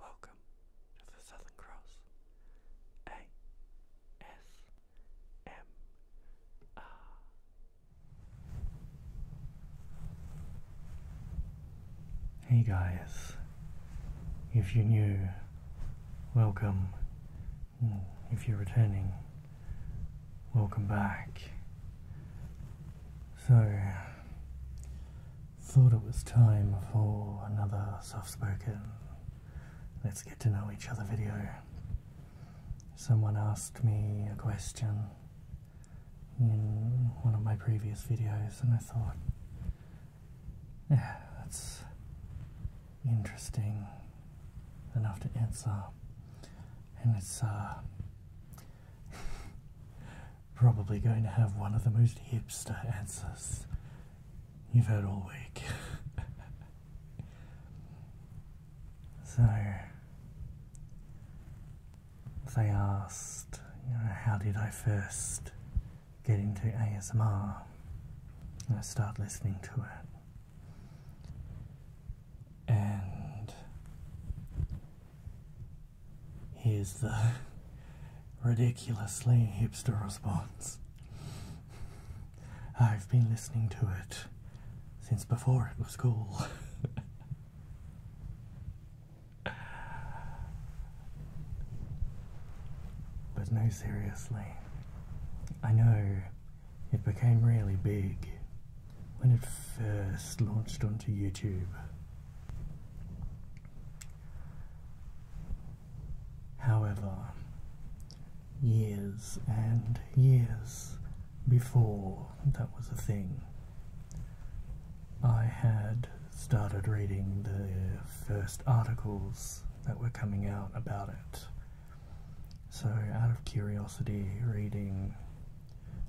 Welcome to the Southern Cross ASMR. Hey guys, if you're new, welcome. Mm, if you're returning, welcome back. So, Thought it was time for another soft spoken Let's Get to Know Each Other video. Someone asked me a question in one of my previous videos, and I thought, yeah, that's interesting enough to answer. And it's, uh, probably going to have one of the most hipster answers you've heard all week. so, they asked, how did I first get into ASMR? And I start listening to it. And Here's the ridiculously hipster response. I've been listening to it since before it was cool. but no, seriously. I know it became really big when it first launched onto YouTube. However, years and years before that was a thing, I had started reading the first articles that were coming out about it. So, out of curiosity, reading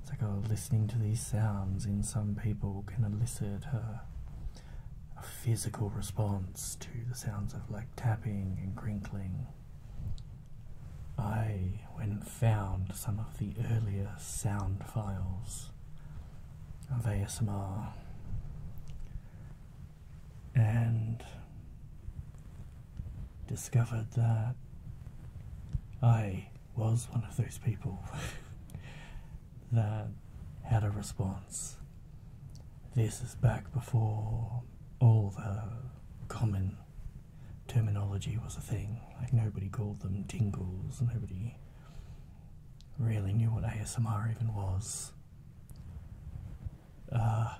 it's like, oh, listening to these sounds in some people can elicit a, physical response to the sounds of like tapping and crinkling. I went and found some of the earlier sound files of ASMR and discovered that I was one of those people that had a response. This is back before all the common terminology was a thing. Like nobody called them tingles, nobody really knew what ASMR even was. Uh,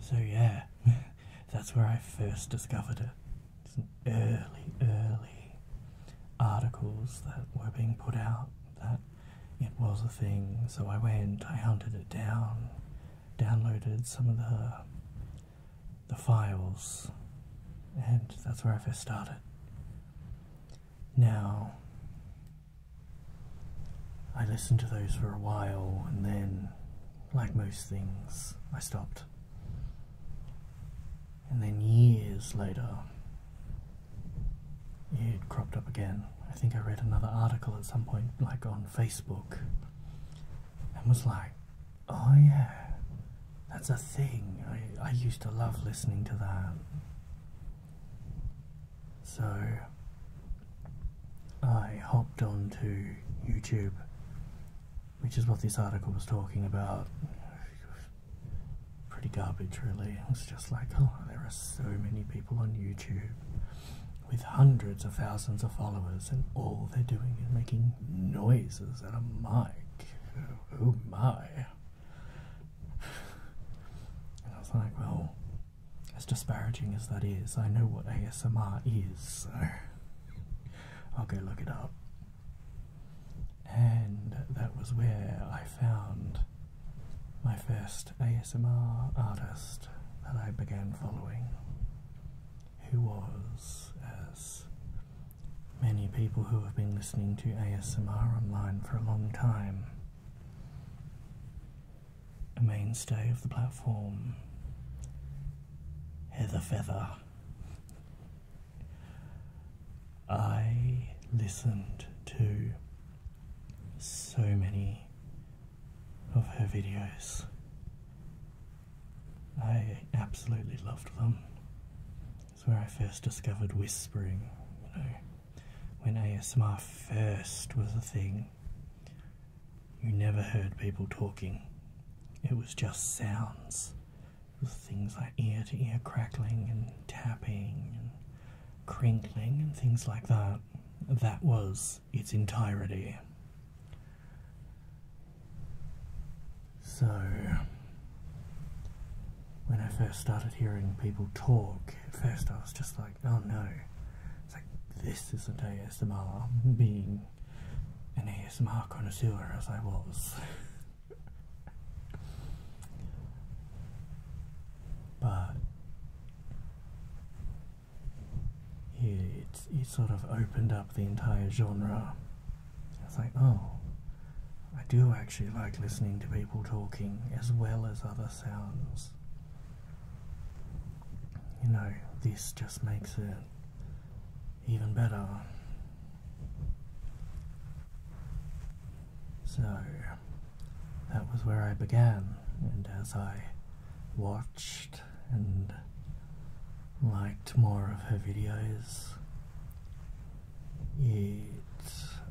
so yeah. That's where I first discovered it. It's an early, early articles that were being put out that it was a thing. So I went, I hunted it down, downloaded some of the the files, and that's where I first started. Now, I listened to those for a while, and then, like most things, I stopped. And then years later, it cropped up again. I think I read another article at some point, like on Facebook, and was like, oh yeah, that's a thing. I, used to love listening to that. So I hopped onto YouTube which is what this article was talking about. Pretty garbage, really. It was just like, oh, there are so many people on YouTube with hundreds of thousands of followers, and all they're doing is making noises at a mic. Oh my. And I was like, well, as disparaging as that is, I know what ASMR is, so. I'll go look it up. And that was where I found my first ASMR artist that I began following, who was, as many people who have been listening to ASMR online for a long time, a mainstay of the platform Heather Feather. I listened to so many of her videos. I absolutely loved them. It's where I first discovered whispering, you know, when ASMR first was a thing. You never heard people talking. It was just sounds. things like ear to ear crackling and tapping and crinkling and things like that. That was its entirety. So, when I first started hearing people talk, at first I was just like, oh no. It's like, this isn't day as ASMR being an, an ASMR connoisseur as I was. but it, it sort of opened up the entire genre. I was like, oh, I do actually like listening to people talking as well as other sounds you know, this just makes it even better. So that was where I began, and as I watched and liked more of her videos, it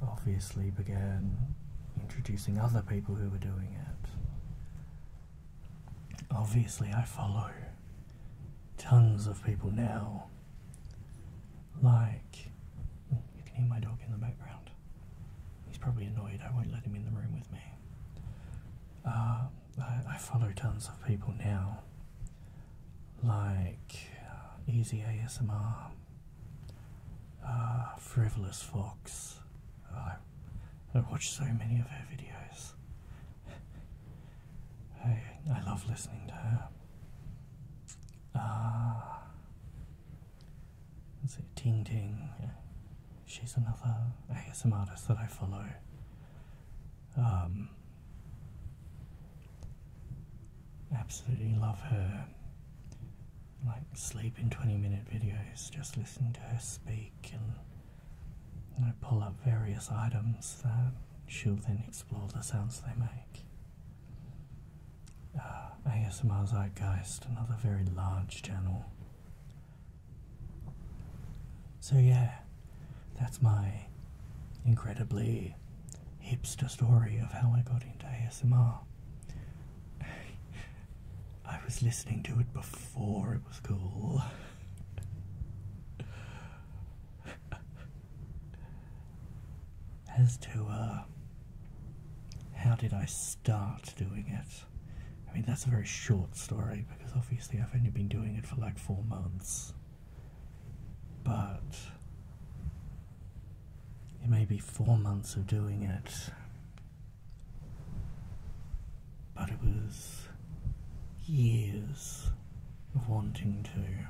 obviously began introducing other people who were doing it. Obviously, I follow tons of people now. Like, you can hear my dog in the background. He's probably annoyed I won't let him in the room with me. Uh, I, follow tons of people now. Like, uh, Easy ASMR, uh, Frivolous Fox. I watch so many of her videos. I, I love listening to her. Ah, uh, Ting Ting. She's another ASMR artist that I follow. Um, absolutely love her. Like sleep in twenty minute videos, just listen to her speak week and pull up various items that she'll then explore the sounds they make. Uh, ASMR Zeitgeist, another very large channel. So, yeah, that's my incredibly hipster story of how I got into ASMR. I was listening to it before it was cool. As to uh, how did I start doing it? I mean, that's a very short story because obviously I've only been doing it for like four months. But it may be four months of doing it but it was years of wanting to,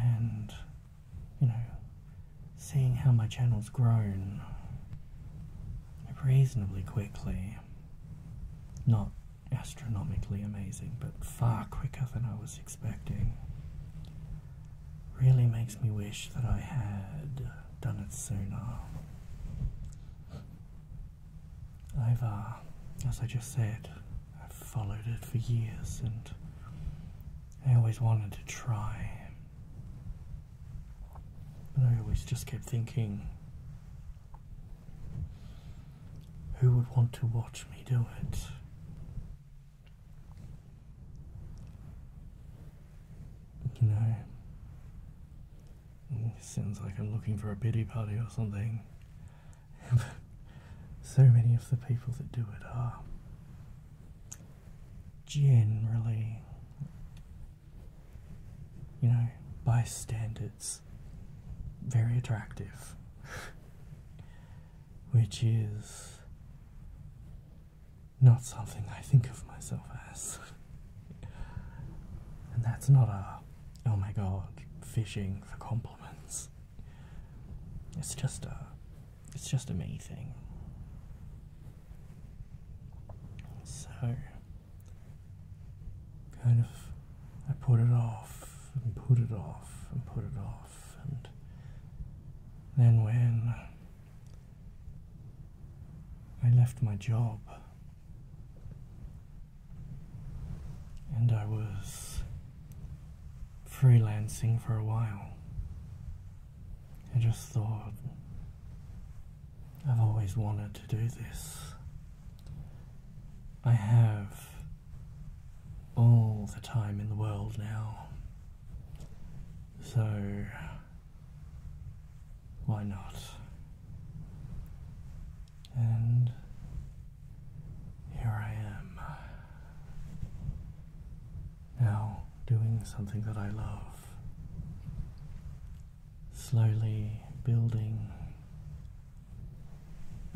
and you know, seeing how my channel's grown reasonably quickly. Not astronomically amazing, but far quicker than I was expecting really makes me wish that I had done it sooner. I've, uh, as I just said, I've followed it for years and I always wanted to try. But I always just kept thinking, who would want to watch me do it? You know, sounds like I'm looking for a pity party or something. so many of the people that do it are generally, you know, by standards, very attractive, which is not something I think of myself as. and that's not a, oh my god, fishing for compliments. It's just a, it's just a me thing. So, kind of, I put it off and put it off and put it off, and then when I left my job and I was freelancing for a while. I just thought I've always wanted to do this. I have all the time in the world now. So, why not? And here I am, now doing something that I love, slowly building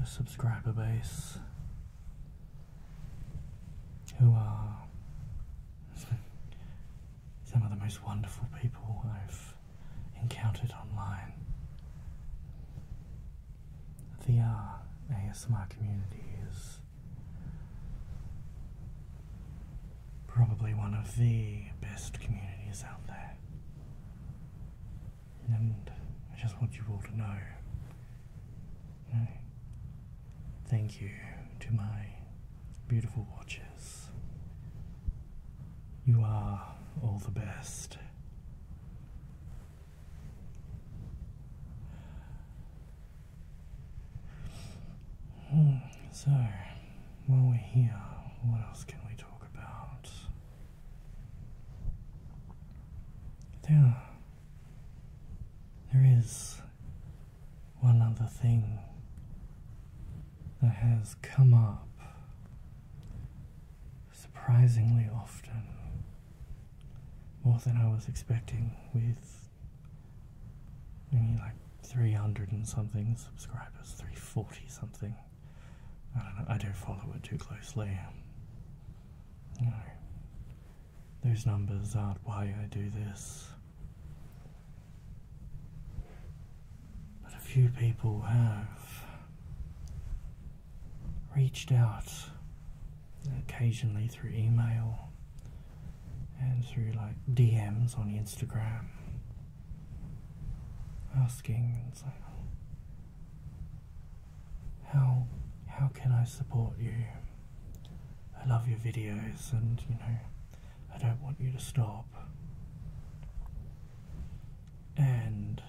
a subscriber base who are some of the most wonderful people I've encountered online. The ASMR community is probably one of the best communities out there. And I just want you all to know thank you to my beautiful watchers. You are all the best. Hmm, so, while we're here, what else can we talk about? There there is one other thing that has come up surprisingly often, more than I was expecting, with only like 300 and something subscribers, 340 something. I don't know, I don't follow it too closely. Those numbers aren't why I do this. But a few people have reached out occasionally through email and through like DMs on Instagram asking, how how can I support you? I love your videos and you know I don't want you to stop. And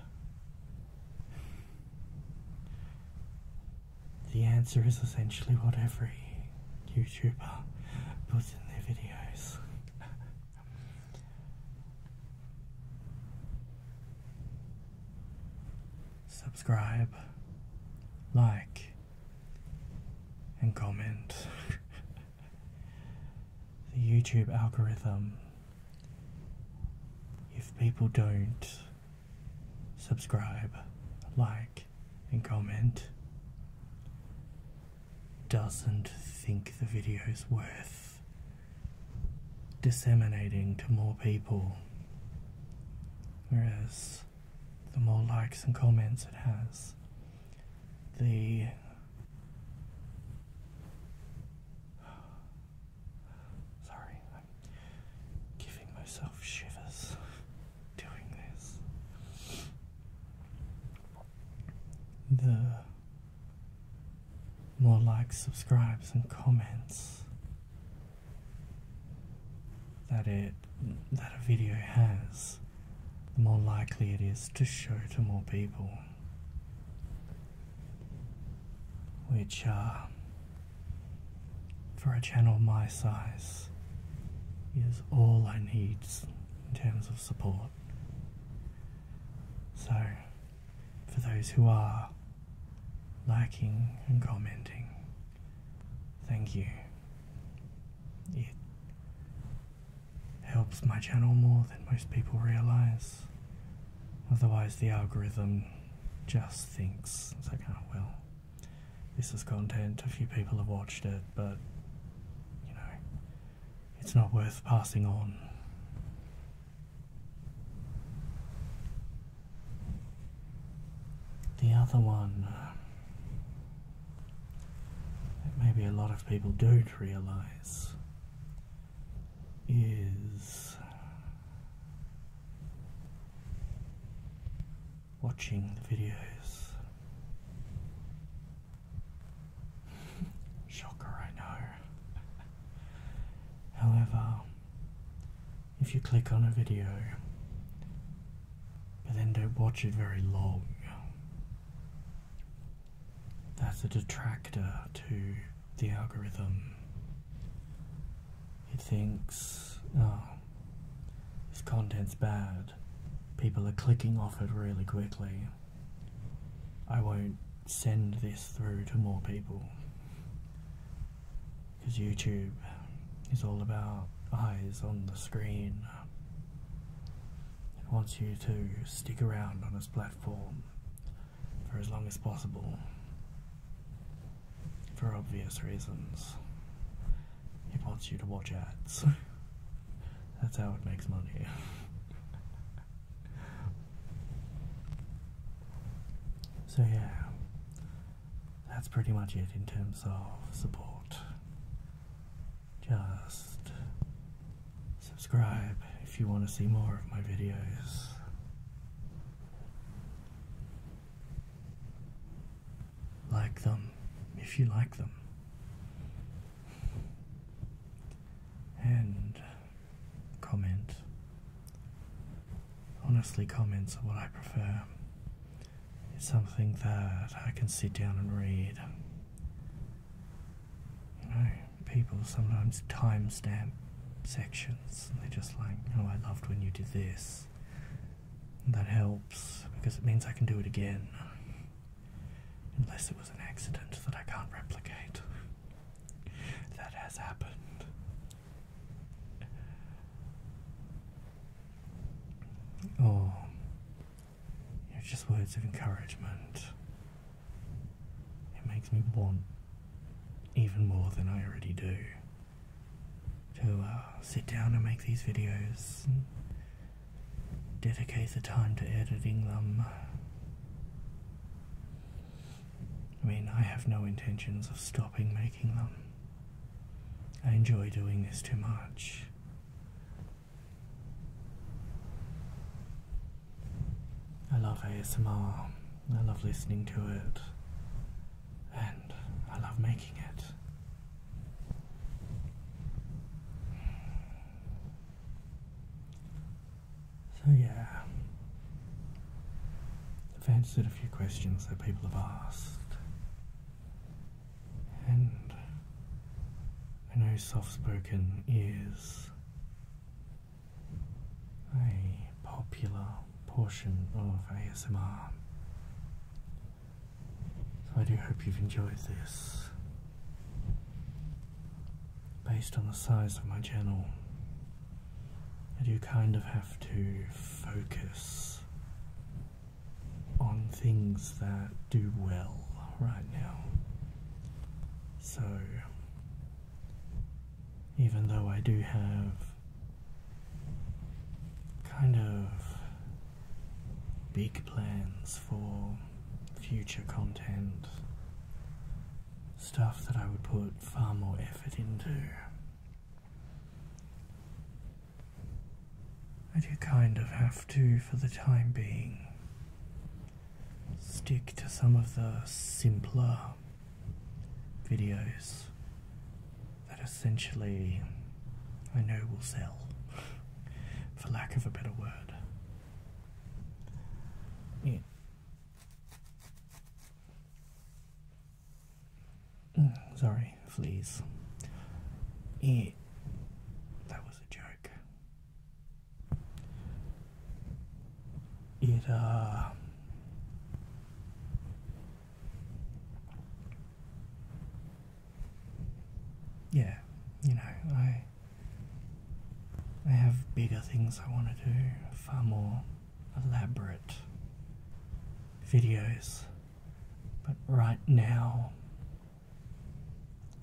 the answer is essentially what every YouTuber puts in their videos subscribe, like, and comment. the YouTube algorithm, if people don't subscribe, like, and comment, doesn't think the video is worth disseminating to more people. Whereas the more likes and comments it has, the Sorry, I'm giving myself shivers doing this. The more likes, subscribes, and comments that it that a video has, the more likely it is to show to more people. Which, uh, for a channel my size, is all I need in terms of support. So, for those who are liking and commenting. Thank you. It helps my channel more than most people realize. Otherwise, the algorithm just thinks, it's like, oh, well, this is content, a few people have watched it, but, you know, it's not worth passing on. The other one uh, that maybe a lot of people don't realize is uh, watching the videos. Shocker, I know. However, if you click on a video but then don't watch it very long. That's a detractor to the algorithm. It thinks, oh, this content's bad. People are clicking off it really quickly. I won't send this through to more people because YouTube is all about eyes on the screen. It wants you to stick around on its platform for as long as possible for obvious reasons. It wants you to watch ads. That's how it makes money. So, yeah, that's pretty much it in terms of support. Just subscribe if you want to see more of my videos. Like them if you like them. And comment. Honestly, comments are what I prefer. It's something that I can sit down and read. You know, people sometimes timestamp sections. They're just like, oh, I loved when you did this. that helps because it means I can do it again. Unless it was an accident that I can't replicate that has happened. Or oh, you just words of encouragement. It makes me want even more than I already do to uh, sit down and make these videos and dedicate the time to editing them I mean, I have no intentions of stopping making them. I enjoy doing this too much. I love ASMR. I love listening to it. And I love making it. So yeah, I've answered a few questions that people have asked, and I know soft-spoken is a popular portion of ASMR. So I do hope you've enjoyed this based on the size of my channel, I do kind of have to focus on things that do well right now. So, even though I do have kind of big plans for future content stuff that I would put far more effort into. I do kind of have to, for the time being, stick to some of the simpler videos that essentially I know will sell, for lack of a better word. It Mm, sorry, fleas. Yeah, that was a joke. It, uh. Yeah, you know, I I have bigger things I want to do, far more elaborate videos, but right now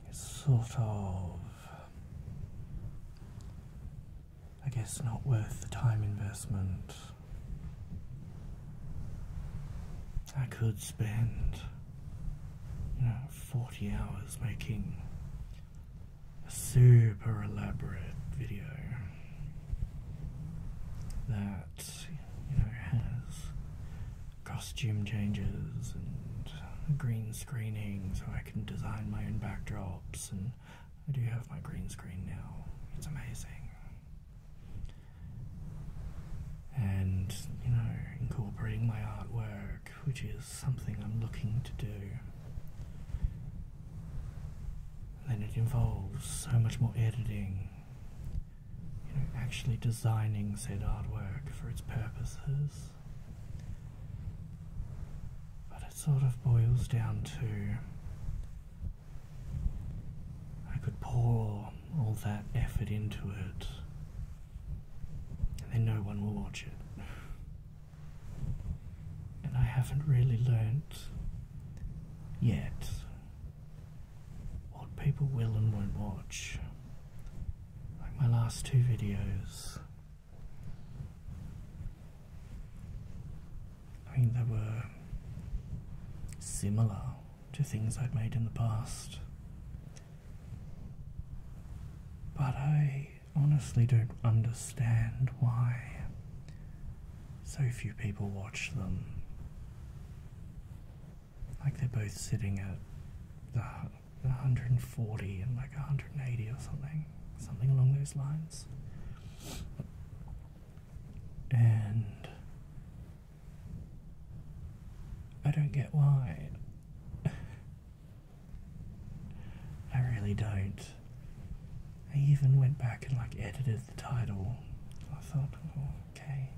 it's sort of, I guess, not worth the time investment. I could spend, you know, 40 hours making a super elaborate video that you know has costume changes and green screening so I can design my own backdrops and I do have my green screen now. It's amazing. And you know, incorporating my artwork which is something I'm looking to do. then it involves so much more editing, you know, actually designing said artwork for its purposes. But it sort of boils down to I could pour all that effort into it and then no one will watch it. And I haven't really learnt yet what people will and won't watch. Like my last two videos. I mean, they were similar to things I'd made in the past, but I honestly don't understand why so few people watch them. Like they're both sitting at the 140 and like 180 or something, something along those lines. And I don't get why. I really don't. I even went back and like edited the title. I thought, oh, okay,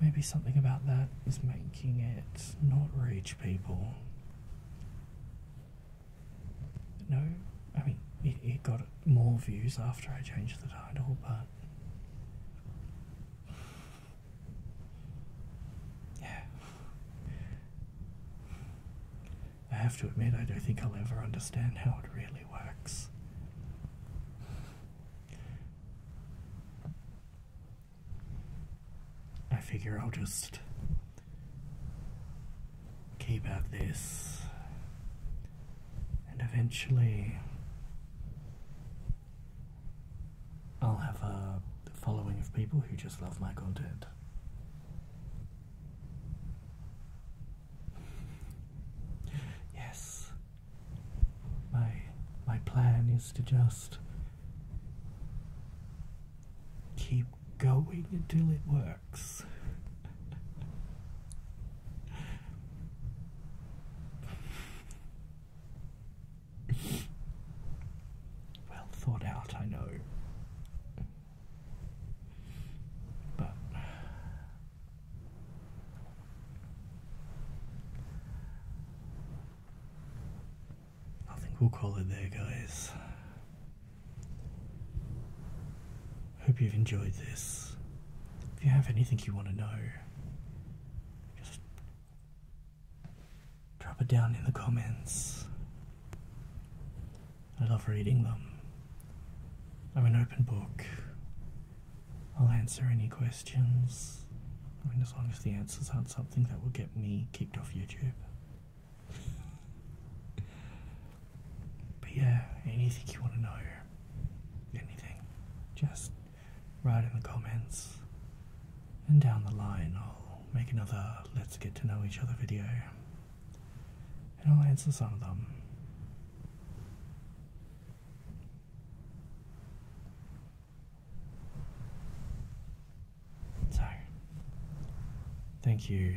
maybe something about that is making it not reach people. No, I mean, it got more views after I changed the title, but yeah. I have to admit, I don't think I'll ever understand how it really works. I figure I'll just keep at this and eventually I'll have a uh, following of people who just love my content. Yes. My my plan is to just keep going until it works. well thought out, I know. But I think we'll call it there, guys. Hope you've enjoyed this. If you have anything you want to know, just Drop it down in the comments. I love reading them. I'm an open book. I'll answer any questions. I mean, as long as the answers aren't something that will get me kicked off YouTube. But yeah, anything you want to know, anything, just write in the comments. And down the line, I'll make another Let's Get to Know Each Other video. And I'll answer some of them. So, thank you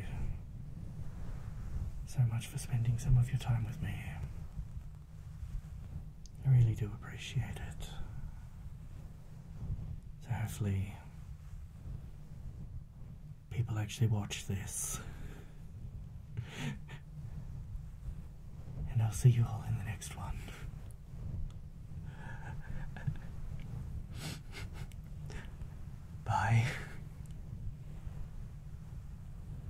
so much for spending some of your time with me. I really do appreciate it. So hopefully people actually watch this. and I'll see you all in the next one. Bye.